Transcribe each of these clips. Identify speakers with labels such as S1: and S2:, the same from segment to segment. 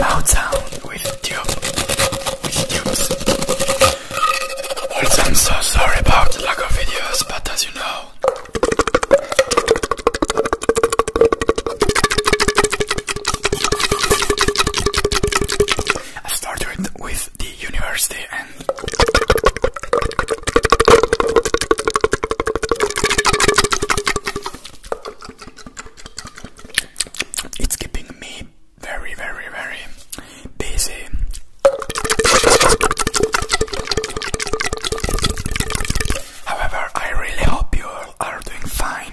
S1: loud sound with tube with tubes. Also I'm so sorry about the lack of videos but as you know I started with the university and it's keeping me very, very, very busy. However, I really hope you are doing fine.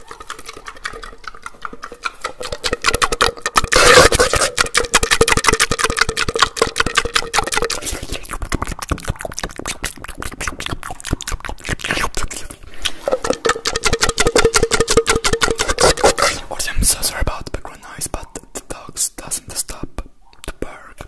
S1: Also, I'm so sorry about the background noise, but the dogs doesn't stop to bark.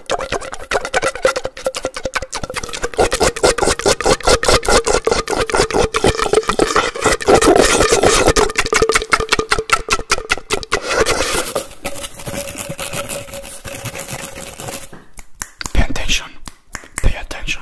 S1: Pay attention. Pay attention.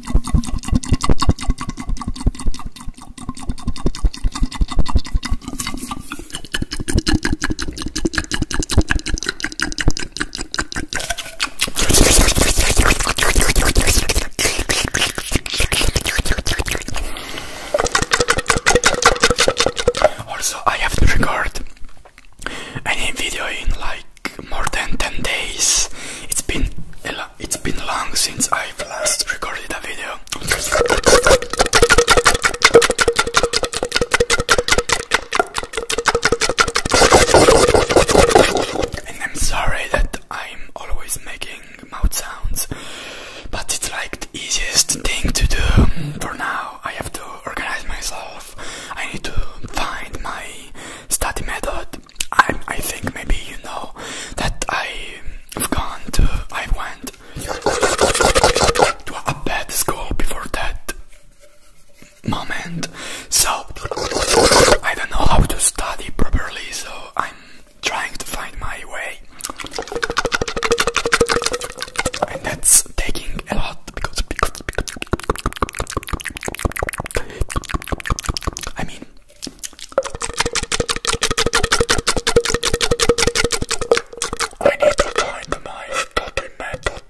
S1: Also, I have to record any video in light more than 10 days. It's been it's been long since I've last recorded a video. And I'm sorry that I'm always making mouth sounds, but it's like the easiest thing to do for now. I have to organize myself. I need to find my study method but I I think maybe you know that I've gone to I went to a bad school before that moment. So I don't know how to study properly, so I'm trying to find my way. And that's taking a lot because I mean, I need to find my fucking method.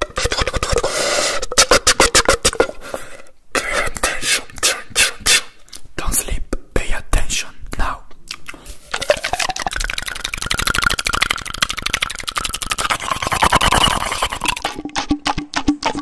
S1: Don't sleep, pay attention now.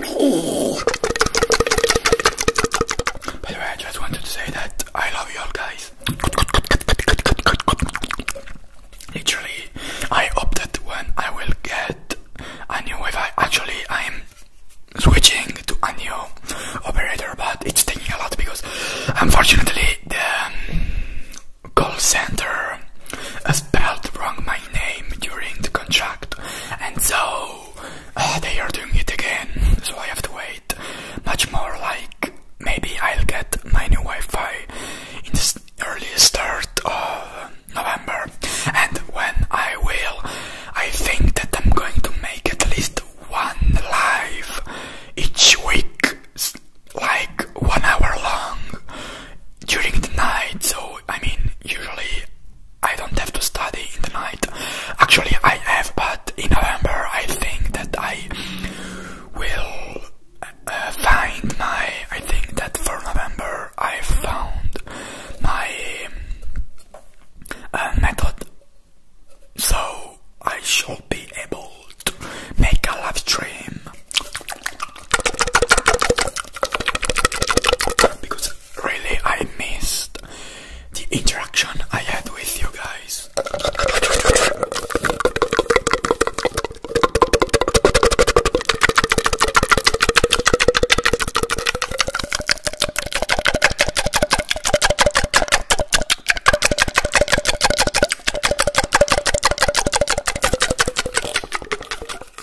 S1: By the way, I just wanted to say that I love you all guys. Literally, I hope that when I will get a new Wi-Fi, actually I'm switching to a new operator, but it's taking a lot because unfortunately the um, call center spelled wrong my name during the contract, and so uh, they are doing it again. So I have to wait much more. Like maybe I'll get my new Wi-Fi in the early start of November, and when I will, I think that I'm going to make at least one live each week, like one hour long during the night. So I mean, usually I don't have to study in the night. Actually, I have, but in November I think that I will uh, find my. I think that for November I found my uh, method, so I should be able to make a live stream because really I missed the interaction I had with you guys.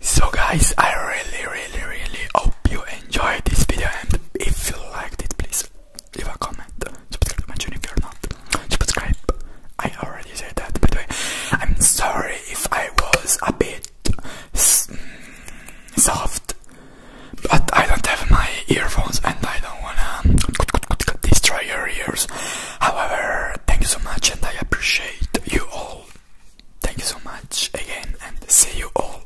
S1: So guys, I really really really hope you enjoyed this video and if you liked it please leave a comment subscribe my channel if you're not. Subscribe. I already said that, by the way. I'm sorry if I was a bit soft, but I don't have my earphones and I don't wanna destroy your ears. However, thank you so much and I appreciate you all. Thank you so much again and see you all.